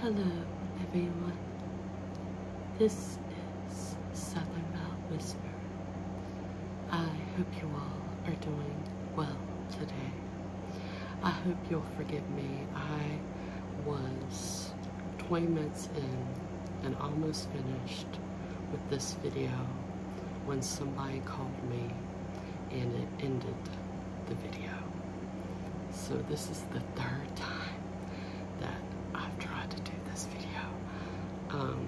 Hello, everyone. This is Southern Bell Whisper. I hope you all are doing well today. I hope you'll forgive me. I was 20 minutes in and almost finished with this video when somebody called me and it ended the video. So this is the third time that I've tried to do this video. Um,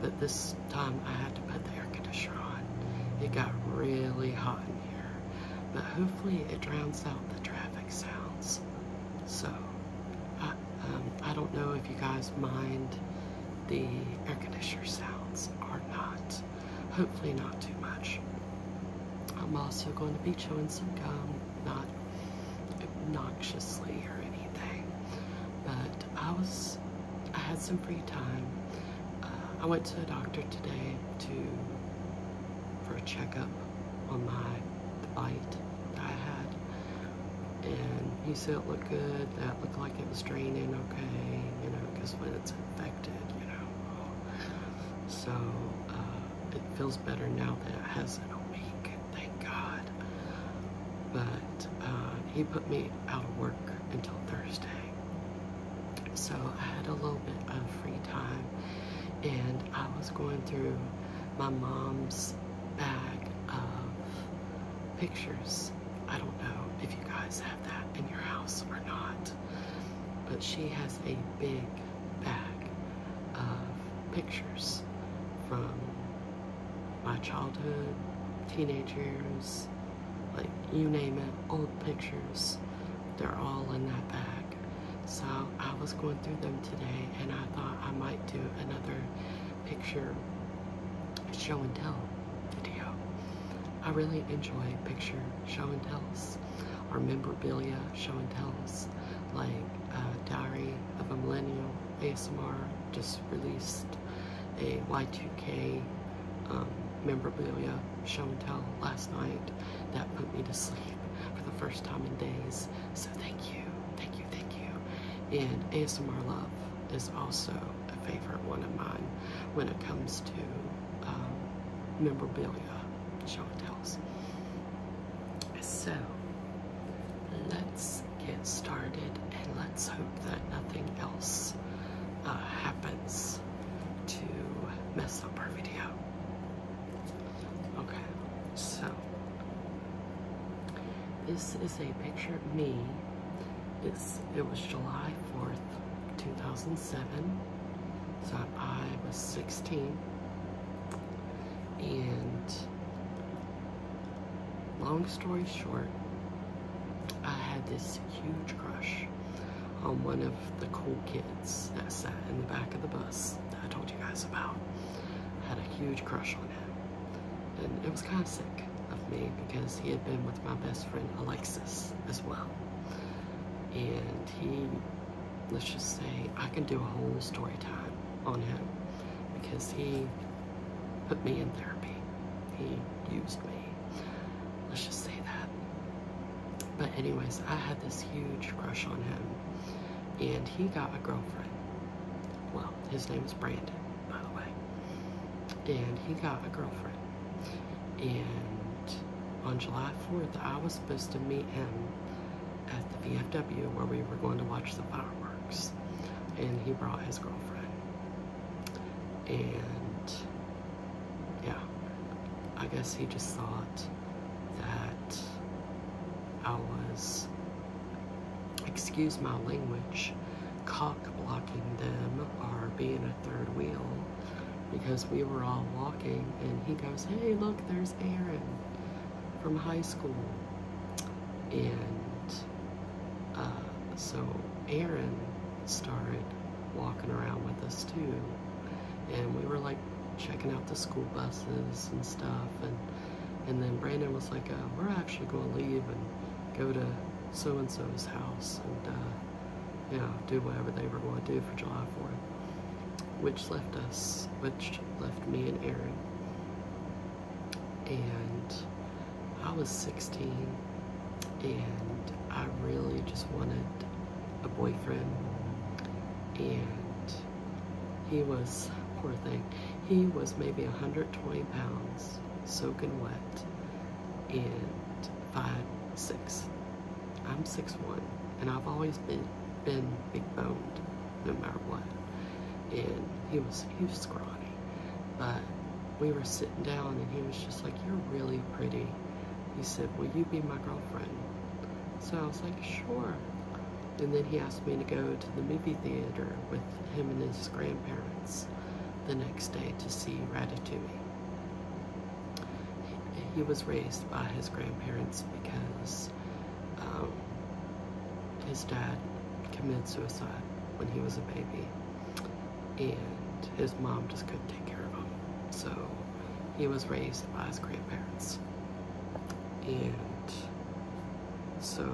but this time I had to put the air conditioner on. It got really hot in here. But hopefully it drowns out the traffic sounds. So I, um, I don't know if you guys mind the air conditioner sounds or not. Hopefully, not too much. I'm also going to be chewing some gum, not obnoxiously or anything. But I was, I had some free time. Uh, I went to the doctor today to for a checkup on my bite that I had, and he said it looked good. That looked like it was draining okay, you know, because when it's infected, you know. So uh, it feels better now that it has it a week, thank God. But uh, he put me out of work until Thursday. So I had a little bit of free time and I was going through my mom's bag of pictures. I don't know if you guys have that in your house or not but she has a big bag of pictures from my childhood, teenage years, like you name it, old pictures. They're all in that bag. So I was going through them today and I thought I might do another picture show and tell video. I really enjoy picture show and tells our memorabilia, show and tells, like Diary of a Millennial ASMR just released a Y2K um, memorabilia show and tell last night that put me to sleep for the first time in days. So thank you, thank you, thank you. And ASMR Love is also a favorite one of mine when it comes to um, memorabilia. Chantel's. So let's get started and let's hope that nothing else uh, happens to mess up our video. Okay, so this is a picture of me. It's, it was July 4th, 2019. 2007, so I was 16. And long story short, I had this huge crush on one of the cool kids that sat in the back of the bus that I told you guys about. had a huge crush on him. And it was kind of sick of me because he had been with my best friend Alexis as well. And he let's just say I can do a whole story time on him because he put me in therapy. He used me. Let's just say that. But anyways, I had this huge crush on him and he got a girlfriend. Well, his name is Brandon, by the way. And he got a girlfriend. And on July 4th, I was supposed to meet him at the VFW where we were going to watch the fireworks, and he brought his girlfriend. And yeah, I guess he just thought that I was, excuse my language, cock blocking them or being a third wheel because we were all walking and he goes, Hey, look, there's Aaron from high school. And uh, so Aaron started walking around with us too. And we were like checking out the school buses and stuff. And, and then Brandon was like, uh, we're actually going to leave and go to so-and-so's house and, uh, do whatever they were going to do for July 4th which left us, which left me and Aaron. And I was 16 and I really just wanted a boyfriend. And he was, poor thing, he was maybe 120 pounds, soaking wet, and five, six. I'm six one, and I've always been been big boned, no matter what. And he was he was scrawny, but we were sitting down, and he was just like, "You're really pretty." He said, "Will you be my girlfriend?" So I was like, "Sure." And then he asked me to go to the movie theater with him and his grandparents the next day to see Ratatouille he was raised by his grandparents because um, his dad committed suicide when he was a baby and his mom just couldn't take care of him so he was raised by his grandparents and so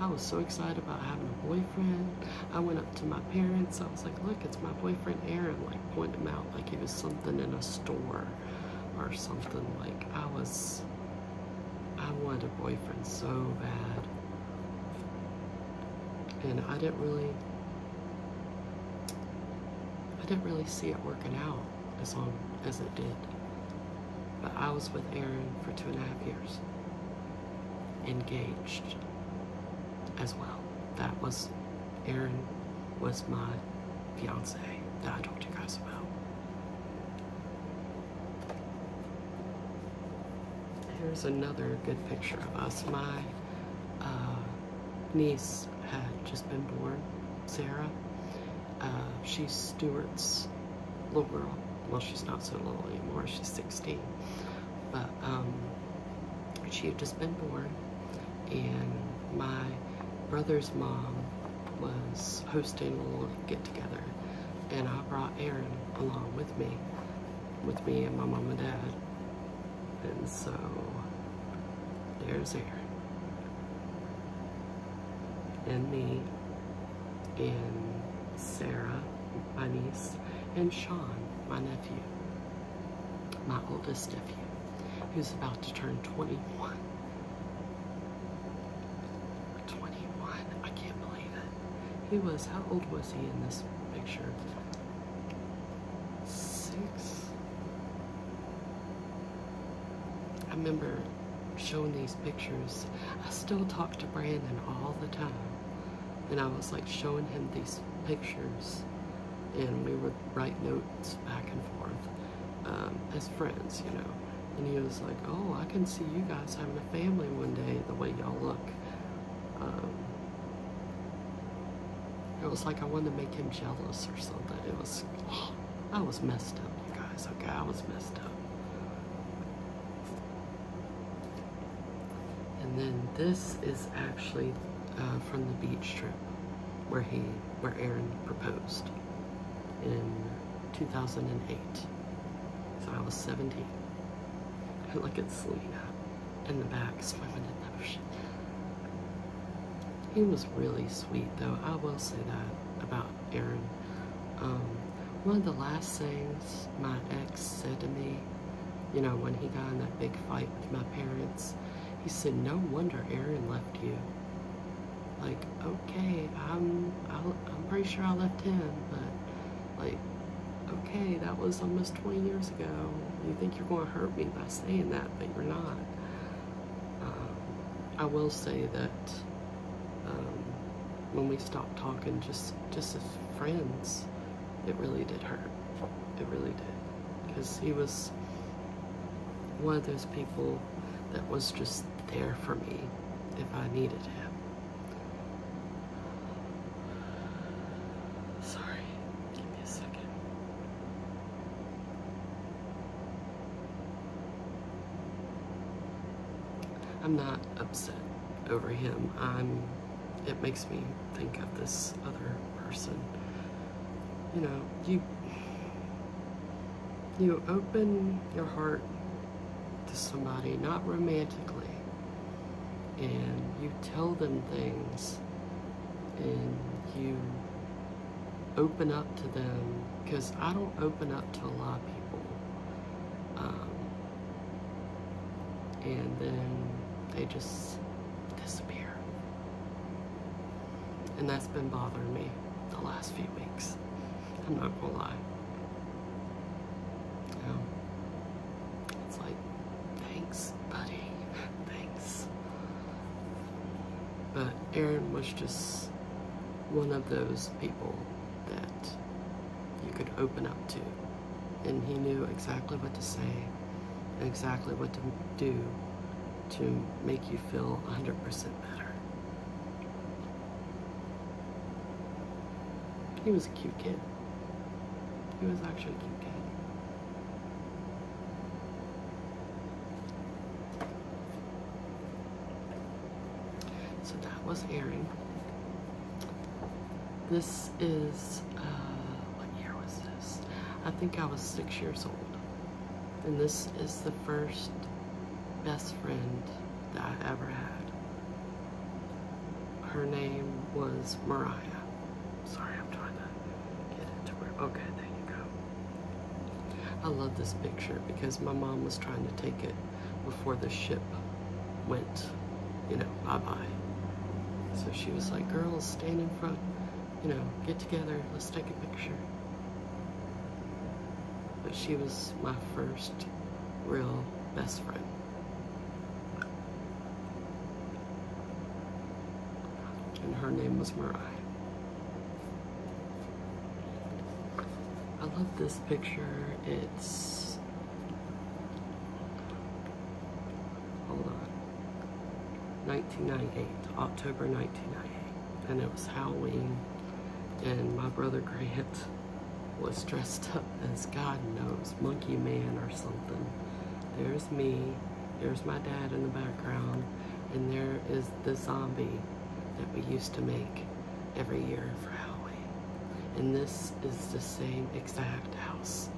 I was so excited about having a boyfriend. I went up to my parents. I was like, look, it's my boyfriend Aaron. Like, point him out like he was something in a store or something. Like I was, I wanted a boyfriend so bad, and I didn't really, I didn't really see it working out as long as it did. But I was with Aaron for two and a half years, engaged as well. That was Aaron was my fiance that I told you guys about. Here's another good picture of us. My uh, niece had just been born, Sarah. Uh, she's Stuart's little girl. Well, she's not so little anymore. She's 16. But um, she had just been born and my brother's mom was hosting a little get-together, and I brought Aaron along with me, with me and my mom and dad, and so there's Aaron and me and Sarah, my niece, and Sean, my nephew, my oldest nephew. He was about to turn 21. 21. I can't believe it. He was, how old was he in this picture? Six. I remember showing these pictures. I still talk to Brandon all the time. And I was like showing him these pictures and we would write notes back and forth. Um, as friends, you know. And he was like, oh, I can see you guys having a family one day, the way y'all look. Um, it was like I wanted to make him jealous or something. It was, I was messed up, you guys, okay? I was messed up. And then this is actually uh, from the beach trip where he, where Aaron proposed in 2008. So I was 17. I look at Selena in the back swimming in the ocean. He was really sweet, though. I will say that about Aaron. Um, one of the last things my ex said to me, you know, when he got in that big fight with my parents, he said, no wonder Aaron left you. Like, okay, I'm, I, am pretty sure I left him, but like, okay, that was almost 20 years ago. You think you're going to hurt me by saying that, but you're not. Um, I will say that um, when we stopped talking, just just as friends, it really did hurt. It really did, because he was one of those people that was just there for me if I needed him. Sorry, give me a second. I'm not upset over him. I'm it makes me think of this other person. You know, you you open your heart to somebody, not romantically, and you tell them things and you open up to them because I don't open up to a lot of people. Um, and then they just disappear. And that's been bothering me the last few weeks. I'm not gonna lie. it's like, thanks, buddy, thanks. But Aaron was just one of those people that you could open up to. And he knew exactly what to say, exactly what to do, to make you feel 100% better. He was a cute kid. He was actually cute kid. So that was airing. This is, uh, what year was this? I think I was six years old. And this is the first best friend that I ever had. Her name was Mariah. Sorry, I'm trying to get into where. Okay, there you go. I love this picture because my mom was trying to take it before the ship went, you know, bye-bye. So she was like, girls, stand in front you know, get together, let's take a picture. But she was my first real best friend. And her name was Mariah. I love this picture. It's, hold on, 1998, October 1998 and it was Halloween, and my brother Grant was dressed up as God knows, Monkey Man or something. There's me, there's my dad in the background, and there is the zombie that we used to make every year for Halloween. And this is the same exact house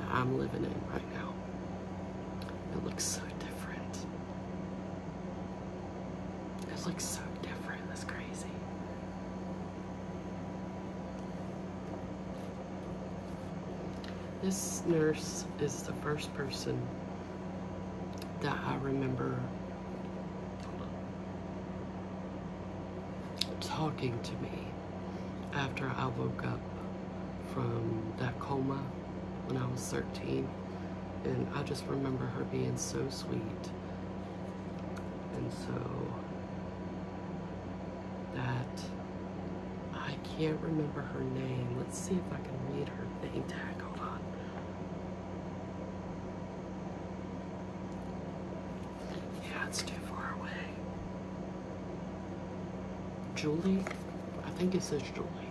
that I'm living in right now. It looks so different. This looks so different. This crazy. This nurse is the first person that I remember talking to me after I woke up from that coma when I was 13. And I just remember her being so sweet. And so that I can't remember her name. Let's see if I can read her name tag. Hold on. Yeah, it's too far away. Julie? I think it says Julie.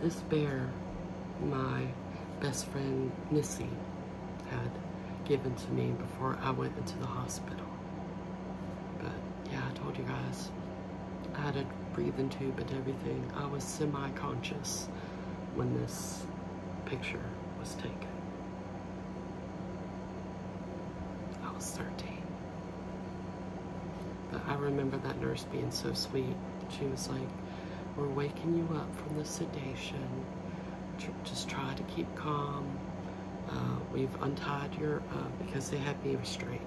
This bear, my best friend Missy had given to me before I went into the hospital. But yeah, I told you guys, I had a breathing tube and everything. I was semi-conscious when this picture was taken. I was 13. But I remember that nurse being so sweet. She was like, We're waking you up from the sedation. Just try to keep calm. Uh, we've untied your, uh, because they had me restrained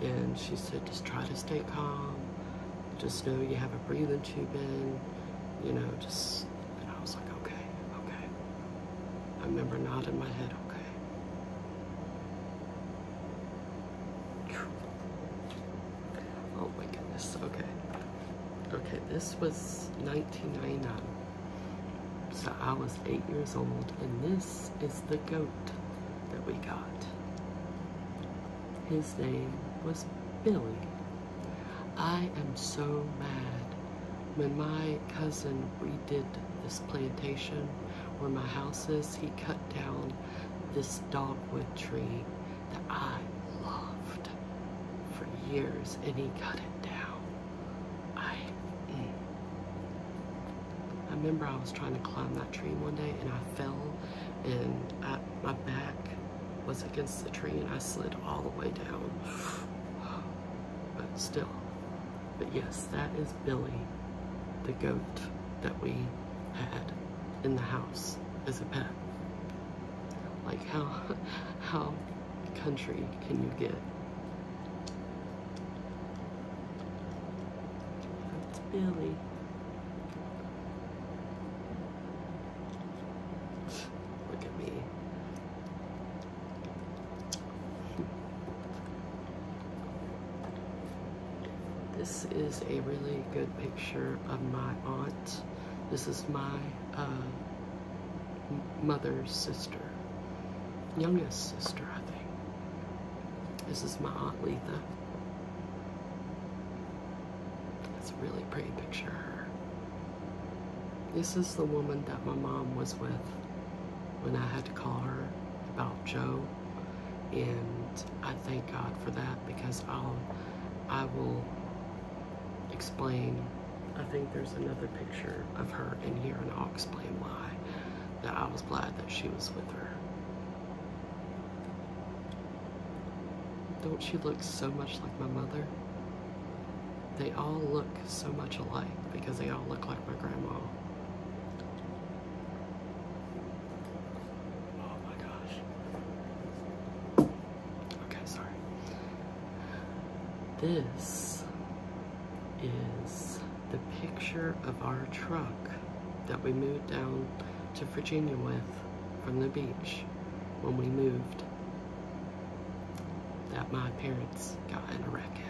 And she said, Just try to stay calm. Just know you have a breathing tube in. You know, just, and I was like, Okay, okay. I remember nodding my head, okay. Oh my goodness, okay. Okay, this was 1999. So I was eight years old, and this is the goat that we got. His name was Billy. I am so mad. When my cousin, did this plantation where my house is, he cut down this dogwood tree that I loved for years and he cut it down. I, mm. remember I was trying to climb that tree one day and I fell and my back was against the tree and I slid all the way down. But still, but yes, that is Billy, the goat that we had in the house as a pet. Like how how country can you get? That's Billy. Look at me. This is a really good picture of my aunt. This is my uh, mother's sister, youngest sister, I think. This is my aunt Letha. It's a really pretty picture This is the woman that my mom was with when I had to call her about Joe, and I thank God for that because I'll, um, I will explain. I think there's another picture of her in here, and I'll explain why that I was glad that she was with her. Don't she look so much like my mother? They all look so much alike because they all look like my grandma. Oh my gosh. Okay, sorry. This is the picture of our truck that we moved down to Virginia with from the beach when we moved that my parents got in a wreck in.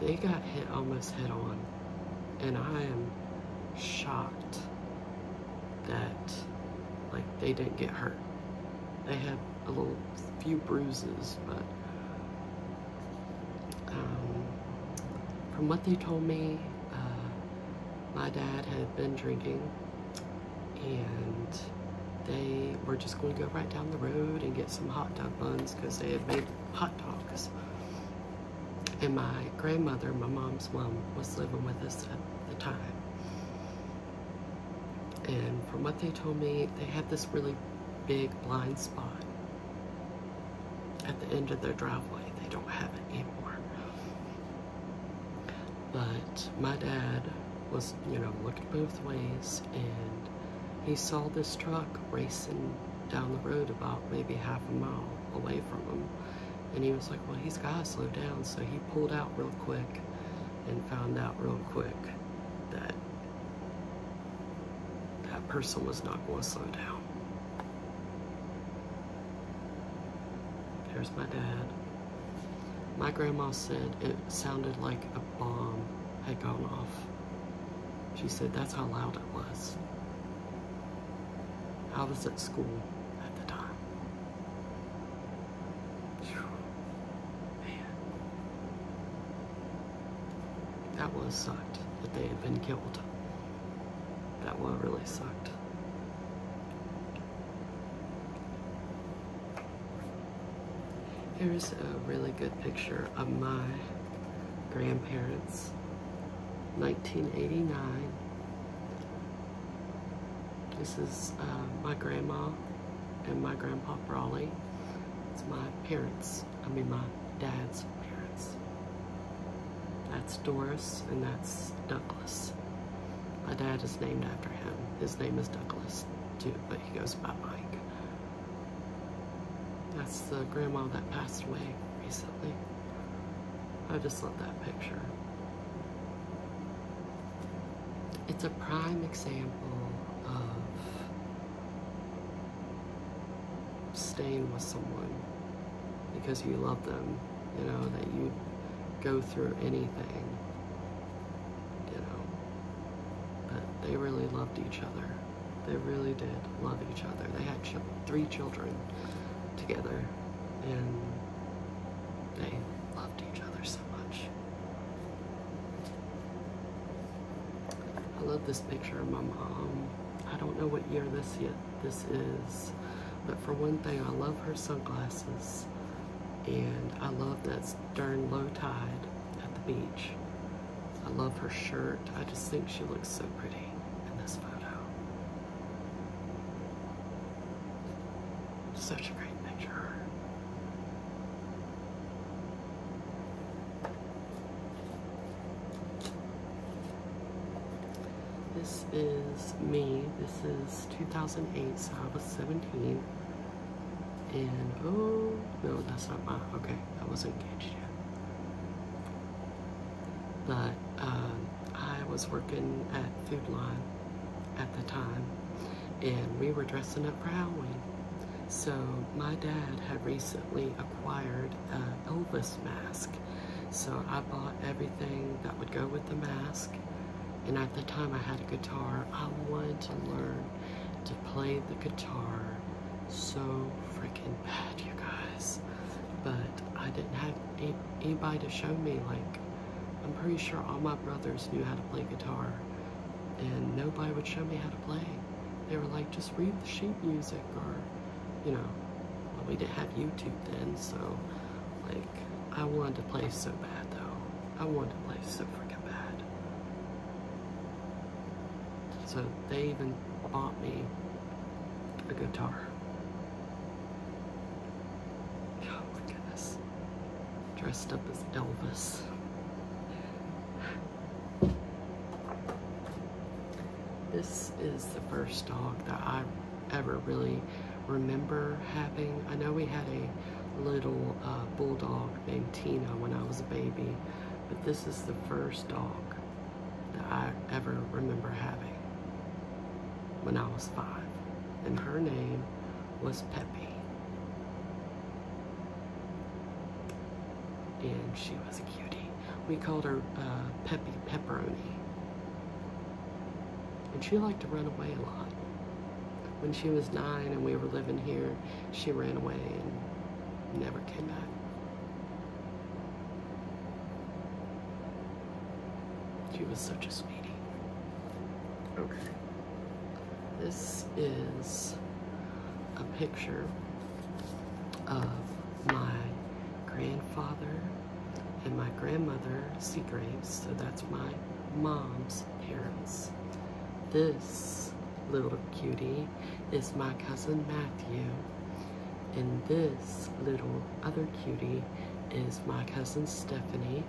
They got hit almost head on, and I am shocked that like they didn't get hurt. They had a little few bruises, but um, from what they told me, uh, my dad had been drinking and they were just going to go right down the road and get some hot dog buns because they had made hot dogs. And my grandmother, my mom's mom, was living with us at the time. And from what they told me, they had this really big blind spot at the end of their driveway. They don't have it anymore. But my dad was, you know, looking both ways and he saw this truck racing down the road about maybe half a mile away from him and he was like well he's got to slow down so he pulled out real quick and found out real quick that that person was not going to slow down there's my dad my grandma said it sounded like a bomb had gone off she said that's how loud it was. I was at school at the time. Man. That was sucked that they had been killed. That one really sucked. Here's a really good picture of my grandparents, 1989. This is uh, my grandma and my grandpa Brawley. It's my parents, I mean my dad's parents. That's Doris and that's Douglas. My dad is named after him. His name is Douglas too, but he goes by Mike. That's the grandma that passed away recently. I just love that picture. It's a prime example of staying with someone because you love them, you know, that you go through anything, you know. But they really loved each other. They really did love each other. They had three children together, and they loved each other so much. I love this picture of my mom. I don't know what year this yet this is, but for one thing, I love her sunglasses, and I love that during low tide at the beach I love her shirt. I just think she looks so pretty in this photo. Such a great picture. This is me. This is 2008, so I was 17. And, oh, no, that's not my, okay. I wasn't engaged yet. But um, I was working at Food Line at the time, and we were dressing up for Halloween. So my dad had recently acquired an Elvis mask. So I bought everything that would go with the mask. And at the time I had a guitar. I wanted to learn to play the guitar so freaking bad, you guys. But I didn't have anybody to show me. Like, I'm pretty sure all my brothers knew how to play guitar, and nobody would show me how to play. They were like, just read the sheet music, or, you know, well, we didn't have YouTube then, so, like, I wanted to play so bad, though. I wanted to play so freaking bad. So they even bought me a guitar. Oh my goodness. Dressed up as Elvis. This is the first dog that I ever really remember having. I know we had a little uh, bulldog named Tina when I was a baby, but this is the first dog that I ever remember having when I was five. And her name was Peppy. And she was a cutie. We called her uh, Peppy Pepperoni. And she liked to run away a lot. When she was nine and we were living here, she ran away and never never She was such a sweetie. Okay. This is a picture of my grandfather and my grandmother Seagraves, so that's my mom's parents. This little cutie is my cousin Matthew. And this little other cutie is my cousin Stephanie.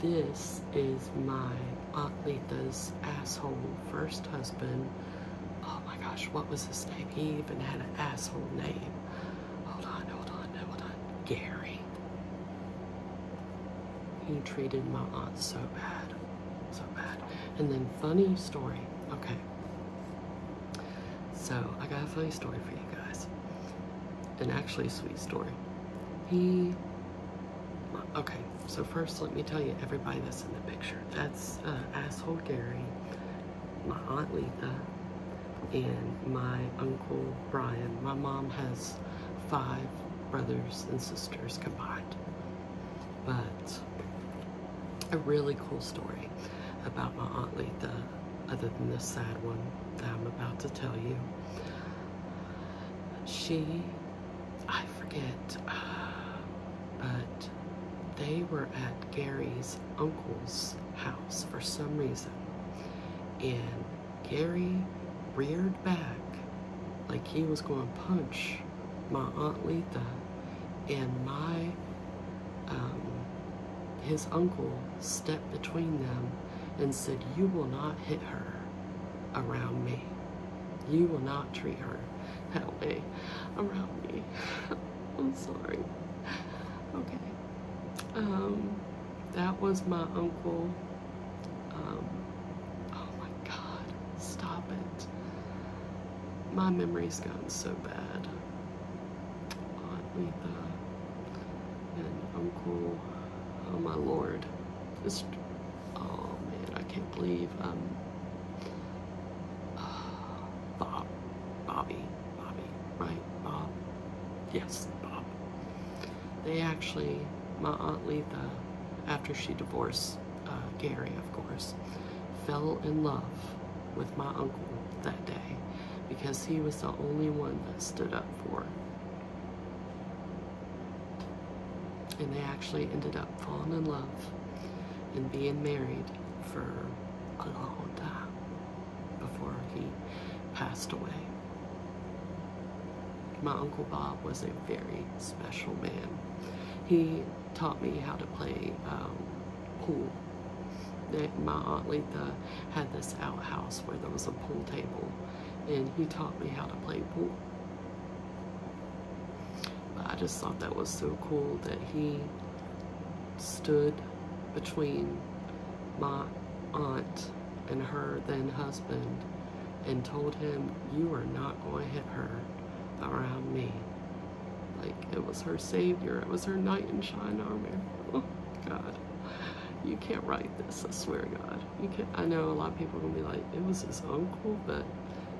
This is my Aunt Letha's asshole first husband. Oh my gosh, what was his name? He even had an asshole name. Hold on, hold on, hold on. Gary. He treated my aunt so bad so bad. And then funny story. Okay. So I got a funny story for you guys. And actually a sweet story. He okay, so first let me tell you everybody that's in the picture. That's uh, asshole Gary, my aunt Lita, and my uncle Brian. My mom has five brothers and sisters combined but a really cool story about my Aunt Lita, other than the sad one that I'm about to tell you. She, I forget, uh, but they were at Gary's uncle's house for some reason. And Gary reared back like he was going to punch my aunt Letha, and my um, his uncle stepped between them and said, "You will not hit her around me. You will not treat her that way around me." I'm sorry. Okay. Um, that was my uncle. Um, oh my God! Stop it my memory's gotten so bad Aunt Letha and Uncle, oh my lord, it's, oh man, I can't believe I'm, um, Bob, Bobby, Bobby, right, Bob, yes, Bob. They actually, my Aunt Letha, after she divorced uh, Gary, of course, fell in love with my uncle that day because he was the only one that stood up for it. And they actually ended up falling in love and being married for a long time before he passed away. My Uncle Bob was a very special man. He taught me how to play um, pool. My aunt Letha had this outhouse where there was a pool table, and he taught me how to play pool. I just thought that was so cool that he stood between my aunt and her then husband and told him, You are not not going hit her around me. Like, it was her savior. It was her knight in shine armor. Oh, God. You can't write this, I swear God. You can't, I know a lot of people are going to be like, it was his uncle, but,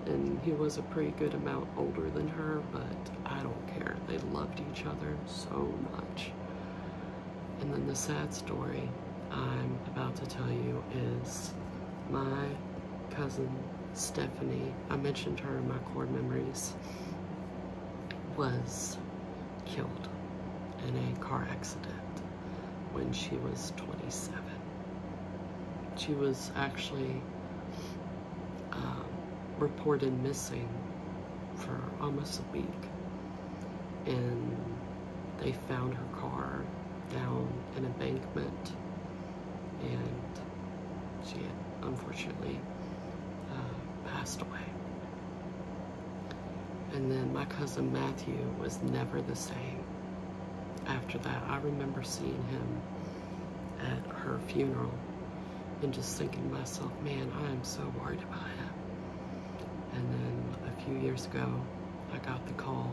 and he was a pretty good amount older than her, but I don't care. They loved each other so much. And then the sad story I'm about to tell you is my cousin Stephanie, I mentioned her in my core memories, was killed in a car accident when she was 27. She was actually um, reported missing for almost a week and they found her car down an embankment and she had unfortunately uh, passed away. And then my cousin Matthew was never the same. After that, I remember seeing him at her funeral and just thinking myself, man, I am so worried about him. And then a few years ago, I got the call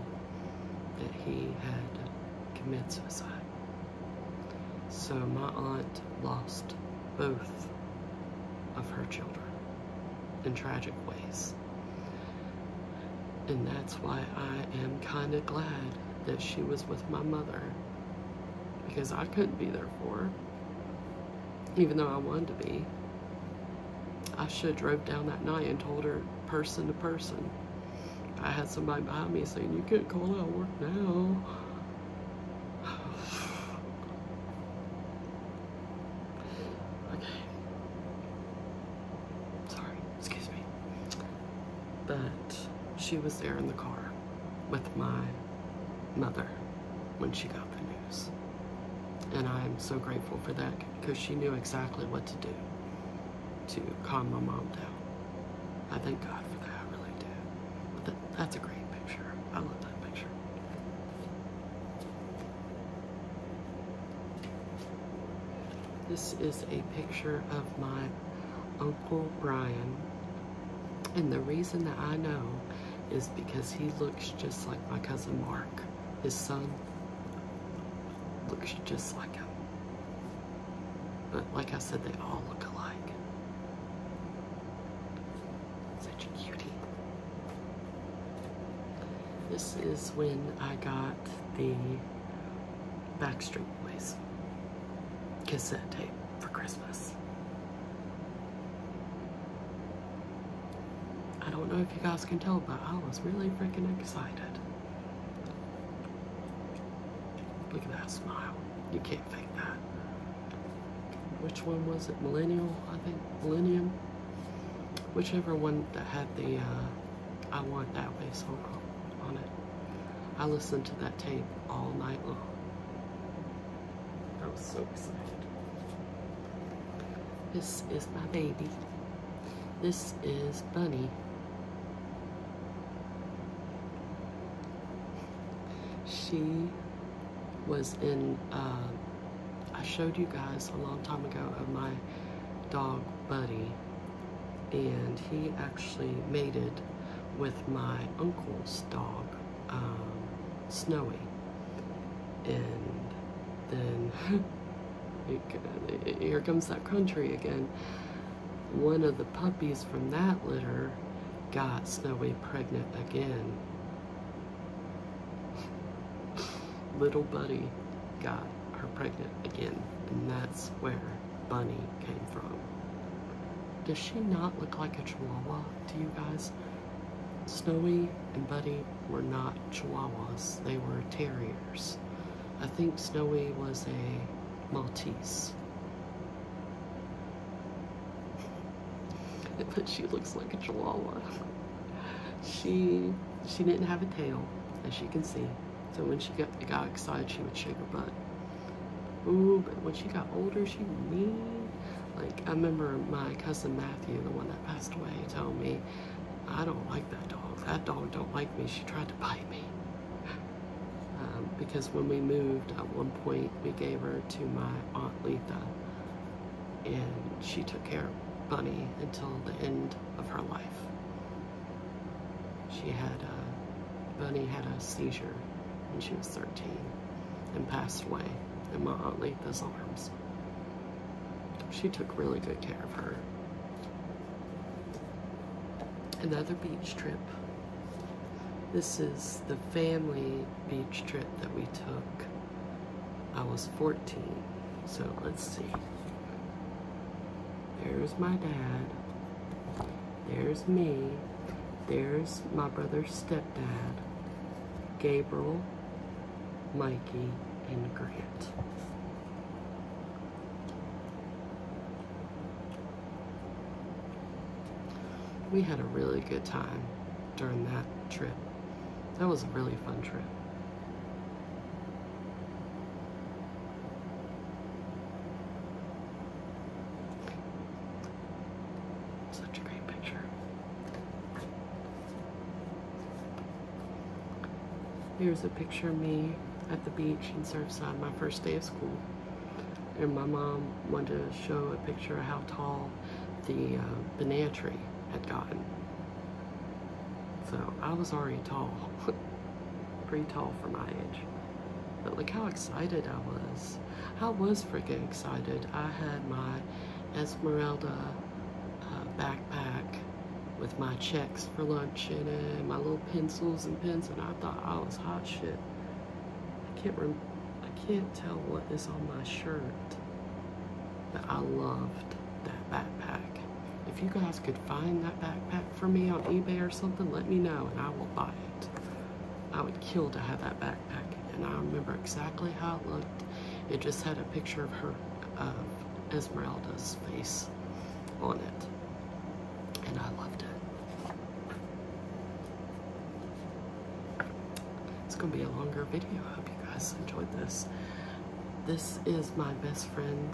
that he had committed suicide. So my aunt lost both of her children in tragic ways. And that's why I am kind of glad that she was with my mother because I couldn't be there for her, even though I wanted to be. I should have drove down that night and told her person to person I had somebody behind me saying, you can't call out work now. okay. Sorry, excuse me. But she was there in the car with my mother when she got the news. And I'm so grateful for that because she knew exactly what to do to calm my mom down. I thank God for that, I really do. that's a great picture. I love that picture. This is a picture of my Uncle Brian. And the reason that I know is because he looks just like my cousin Mark. His son looks just like him. But like I said, they all look alike. Such a cutie. This is when I got the Backstreet Boys cassette tape for Christmas. I don't know if you guys can tell, but I was really freaking excited. Look at that smile. You can't fake that. Which one was it? Millennial, I think. Millennium. Whichever one that had the uh, I Want That Way song on it. I listened to that tape all night long. I was so excited. This is my baby. This is Bunny. She was in, uh, I showed you guys a long time ago of my dog Buddy, and he actually mated with my uncle's dog, um, Snowy. And then here comes that country again. One of the puppies from that litter got Snowy pregnant again. Little Buddy got her pregnant again, and that's where Bunny came from. Does she not look like a chihuahua to you guys? Snowy and Buddy were not chihuahuas, they were terriers. I think Snowy was a Maltese. but she looks like a chihuahua. She she didn't have a tail, as you can see. So when she got, got excited, she would shake her butt. Ooh, but when she got older, she mean. Like, I remember my cousin Matthew, the one that passed away, told me, I don't like that dog. That dog don't like me. She tried to bite me. Um, because when we moved, at one point, we gave her to my Aunt Letha, and she took care of Bunny until the end of her life. She had, uh, Bunny had a seizure when she was 13 and passed away in my Aunt Letha's arms. She took really good care of her. Another beach trip this is the family beach trip that we took. I was 14, so let's see. There's my dad. There's me. There's my brother's stepdad, Gabriel, Mikey, and Grant. We had a really good time during that trip. That was a really fun trip. Such a great picture. Here's a picture of me at the beach in Surfside, my first day of school. And my mom wanted to show a picture of how tall the uh, banana tree had gotten. So I was already tall, pretty tall for my age. But look how excited I was. How was freaking excited. I had my Esmeralda uh, backpack with my checks for lunch in it, my little pencils and pens, and I thought I was hot shit. I can't rem I can't tell what is on my shirt, but I loved that backpack. If you guys could find that backpack for me on eBay or something, let me know and I will buy it. I would kill to have that backpack, and I remember exactly how it looked. It just had a picture of her, of Esmeralda's face on it, and I loved it. It's gonna be a longer video. I hope you guys enjoyed this. This is my best friend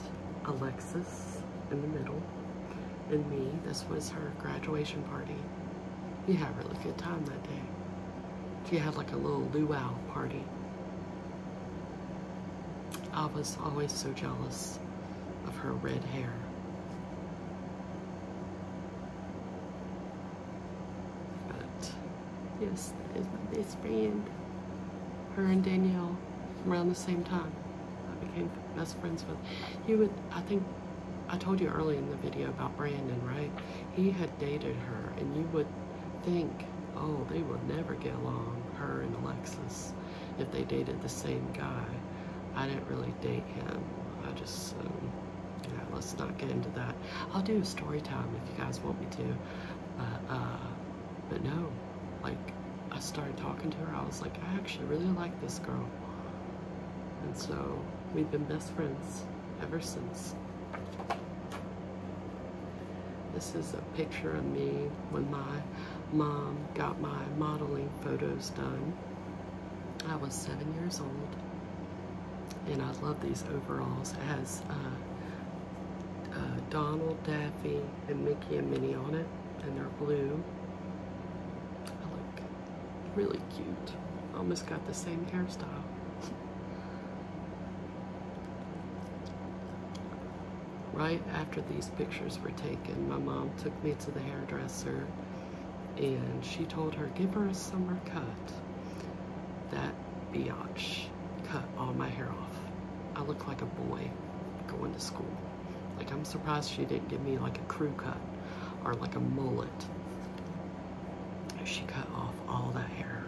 Alexis in the middle and me. This was her graduation party. We had a really good time that day. She had like a little luau party. I was always so jealous of her red hair. But yes, that is my best friend. Her and Danielle around the same time. I became best friends with. You would, I think, I told you early in the video about Brandon, right? He had dated her, and you would think, oh, they will never get along, her and Alexis if they dated the same guy. I didn't really date him. I just, um, yeah, let's not get into that. I'll do a story time if you guys want me to. Uh, but no, like, I started talking to her. I was like, I actually really like this girl. And so we've been best friends ever since. This is a picture of me when my mom got my modeling photos done. I was seven years old, and I love these overalls. It has uh, uh, Donald, Daffy, and Mickey and Minnie on it, and they're blue. I look really cute. Almost got the same hairstyle. right after these pictures were taken, my mom took took me to the hairdresser and she told her, give her a summer cut. That biatch cut all my hair off. I look like a boy going to school. Like, I'm surprised she didn't give me like a crew cut or like a mullet. She cut off all that hair,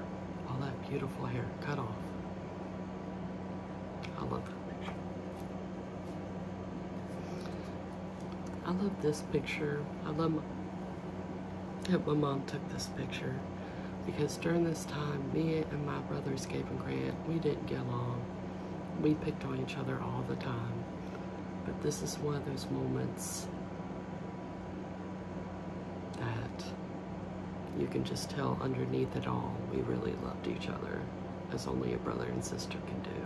all that beautiful hair cut off. I love that. I love this picture. I love that my, mom took this picture because during this time, me and my brother Gabe and Grant, we didn't get along. We picked on each other all the time. But this is one of those moments that you can just tell underneath it all, we really loved each other, as only a brother and sister can do.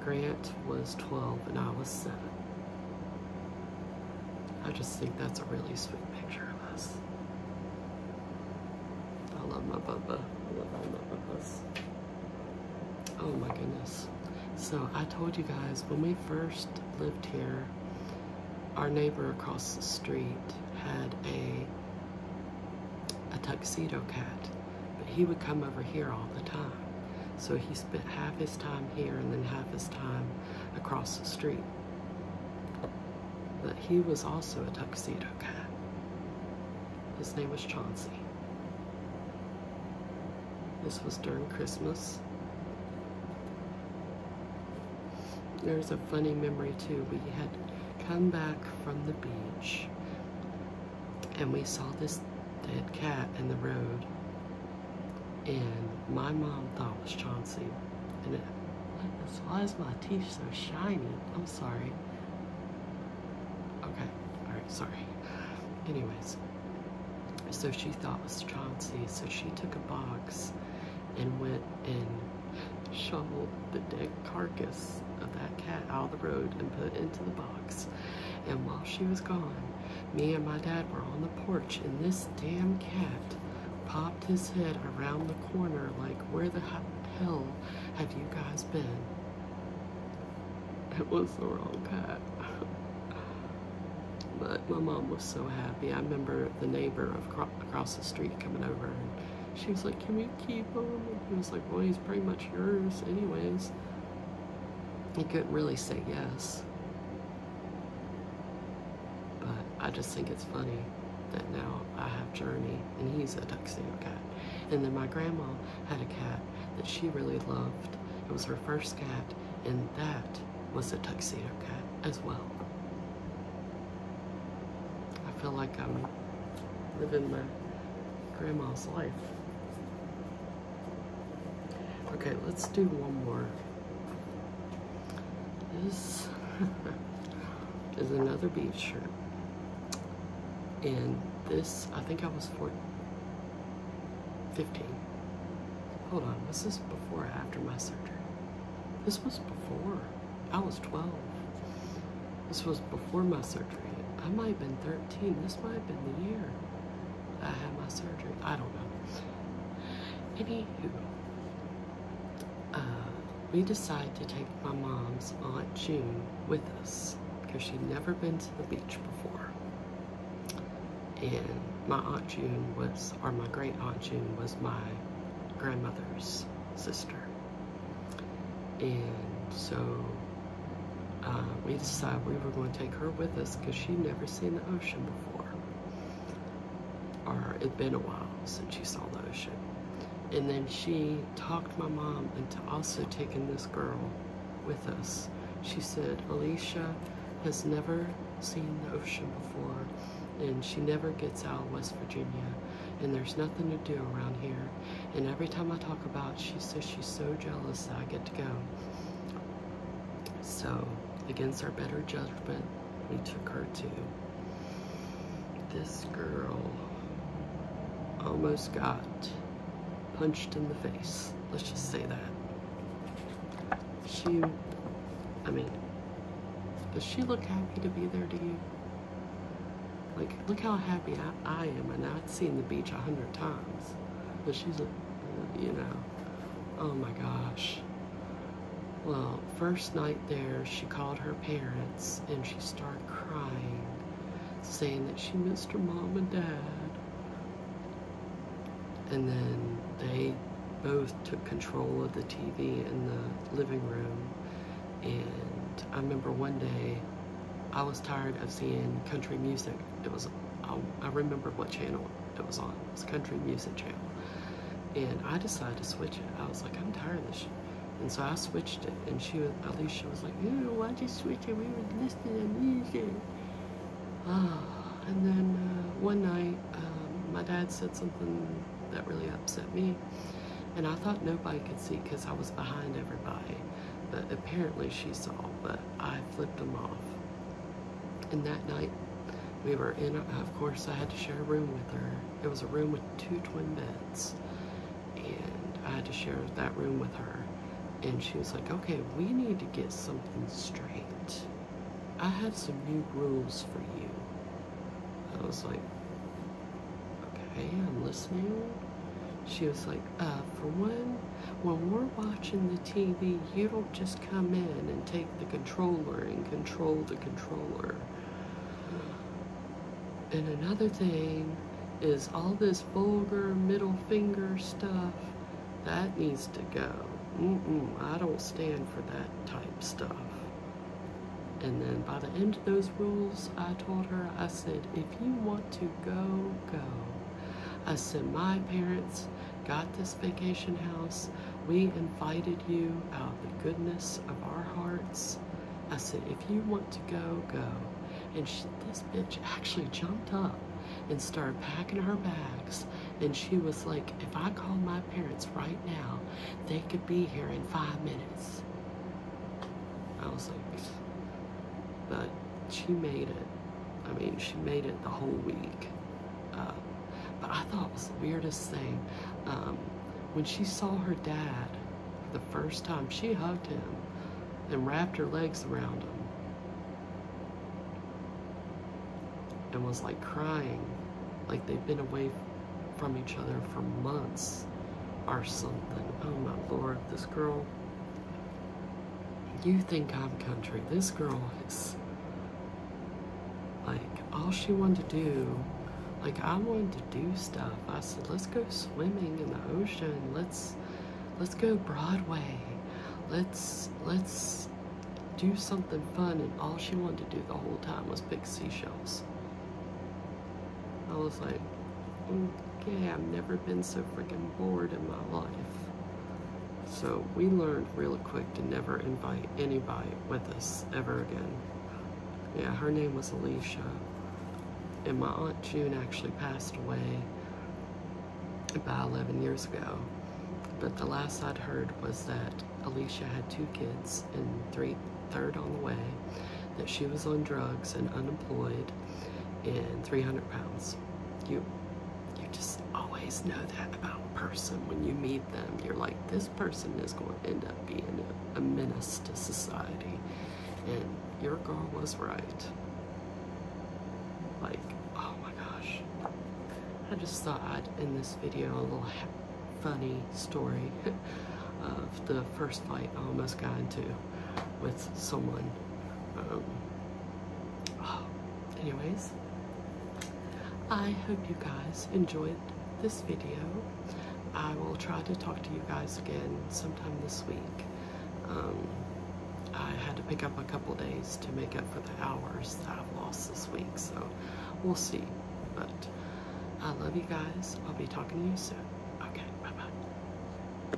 Grant was 12 and I was 7. I just think that's a really sweet picture of us. I love my Bubba. I love all my Bubbas. Oh my goodness. So I told you guys when we first lived here, our neighbor across the street had a a tuxedo cat but he would come over here all the time. So he spent half his time here and then half his time across the street. But he was also a tuxedo cat. His name was Chauncey. This was during Christmas. There's a funny memory too. We had come back from the beach and we saw this dead cat in the road and my mom thought it was Chauncey and it, why is my teeth so shiny? I'm sorry. Okay, alright, sorry. Anyways, so she thought it was Chauncey, so she took a box and went and shoveled the dead carcass of that cat out of the road and put into the box. And while she was gone, me and my dad were on the porch, and this damn cat popped his head around the corner like, where the hell have you guys been? It was the wrong cat. but my mom was so happy. I remember the neighbor across the street coming over and she was like, can we keep him? And he was like, well, he's pretty much yours anyways. I couldn't really say yes. But I just think it's funny that now I have Journey and he's a tuxedo cat. And then my grandma had a cat that she really loved. It was her first cat and that was a tuxedo cat as well. I feel like I'm living my grandma's life. Okay, let's do one more. This is another beach shirt. And this, I think I was 14, 15. Hold on, was this before or after my surgery? This was before. I was 12. This was before my surgery. I might have been 13. This might have been the year I had my surgery. I don't know. Anywho, uh, we decided to take my mom's Aunt June with us because she'd never been to the beach before. And my Aunt June was, or my great Aunt June was my grandmother's sister. And so uh, we decided we were going to take her with us because she'd never seen the ocean before. Or it'd been a while since she saw the ocean. And then she talked my mom into also taking this girl with us. She said, Alicia has never seen the ocean before and she never gets out of West Virginia and there's nothing to do around here and every time I talk about she says she's so jealous I get to go. So, against our better judgment, we took her to. This girl almost got punched in the face. Let's just say that. She, I mean, does she look happy to be there to you? Like, look how happy I, am and I've seen the beach a hundred times. But she's, a, you know, oh my gosh. Well, first night there, she called her parents and she started crying, saying that she missed her mom and dad. And then they both took control of the TV in the living room. And I remember one day I was tired of seeing country music. It was, I, remember what channel it was on. It was country music channel. And I decided to switch it. I was like, I'm tired of this shit. And so I switched it. And she was, at least she was like, Ew, why'd you switch it? We were listening to music. Oh, and then uh, one night, um, my dad said something that really upset me. And I thought nobody could see because I was behind everybody. But apparently she saw, but I flipped them off. And that night, we were in, of course, I had to share a room with her. It was a room with two twin beds. And I had to share that room with her. And she was like, okay, we need to get something straight. I have some new rules for you. I was like, Okay, I'm listening. She was like, uh, for one, when we're watching the TV, you don't just come in and take the controller and control the controller. And another thing is all this vulgar middle finger stuff, that needs to go. Mm-mm, I don't stand for that type stuff. And then by the end of those rules, I told her, I said, if you want to go go. I said, My parents got this vacation house. We invited you out of the goodness of our hearts. I said, If you want to go, go. And she, this bitch actually jumped up and started packing her bags. And she was like, If I call my parents right now, they could be here in five minutes. I was like, but she made it. I mean, she made it the whole week. Uh, but I thought it was the weirdest thing. Um, when she saw her dad the first time, she hugged him and wrapped her legs around him and was like crying like they've been away from each other for months or something. Oh my lord, this girl you think I'm country. This girl is like all she wanted to do. Like I wanted to do stuff. I said, let's go swimming in the ocean. Let's let's go Broadway. Let's let's do something fun. And all she wanted to do the whole time was pick seashells. I was like, mm, okay, I've never been so freaking bored in my life. So we learned real quick to never invite anybody with us ever again. Yeah, her name was Alicia. And my Aunt June actually passed away about 11 years ago. But the last I'd heard was that Alicia had two kids and three, third on the way, that she was on drugs and unemployed and 300 pounds. You you just always know that about a person when you meet them. You're like, this person is going to end up being a, menace to society. And your girl was right. Like, oh my gosh. I just thought I'd end this video a little funny story of the first fight I almost got into with someone. Um, anyways, I hope you guys enjoyed this video. I will try to talk to you guys again sometime this week. Um, I had to pick up a couple days to make up for the hours that I've lost this week, so we'll see. But I love you guys. I'll be talking to you soon. Okay, bye-bye.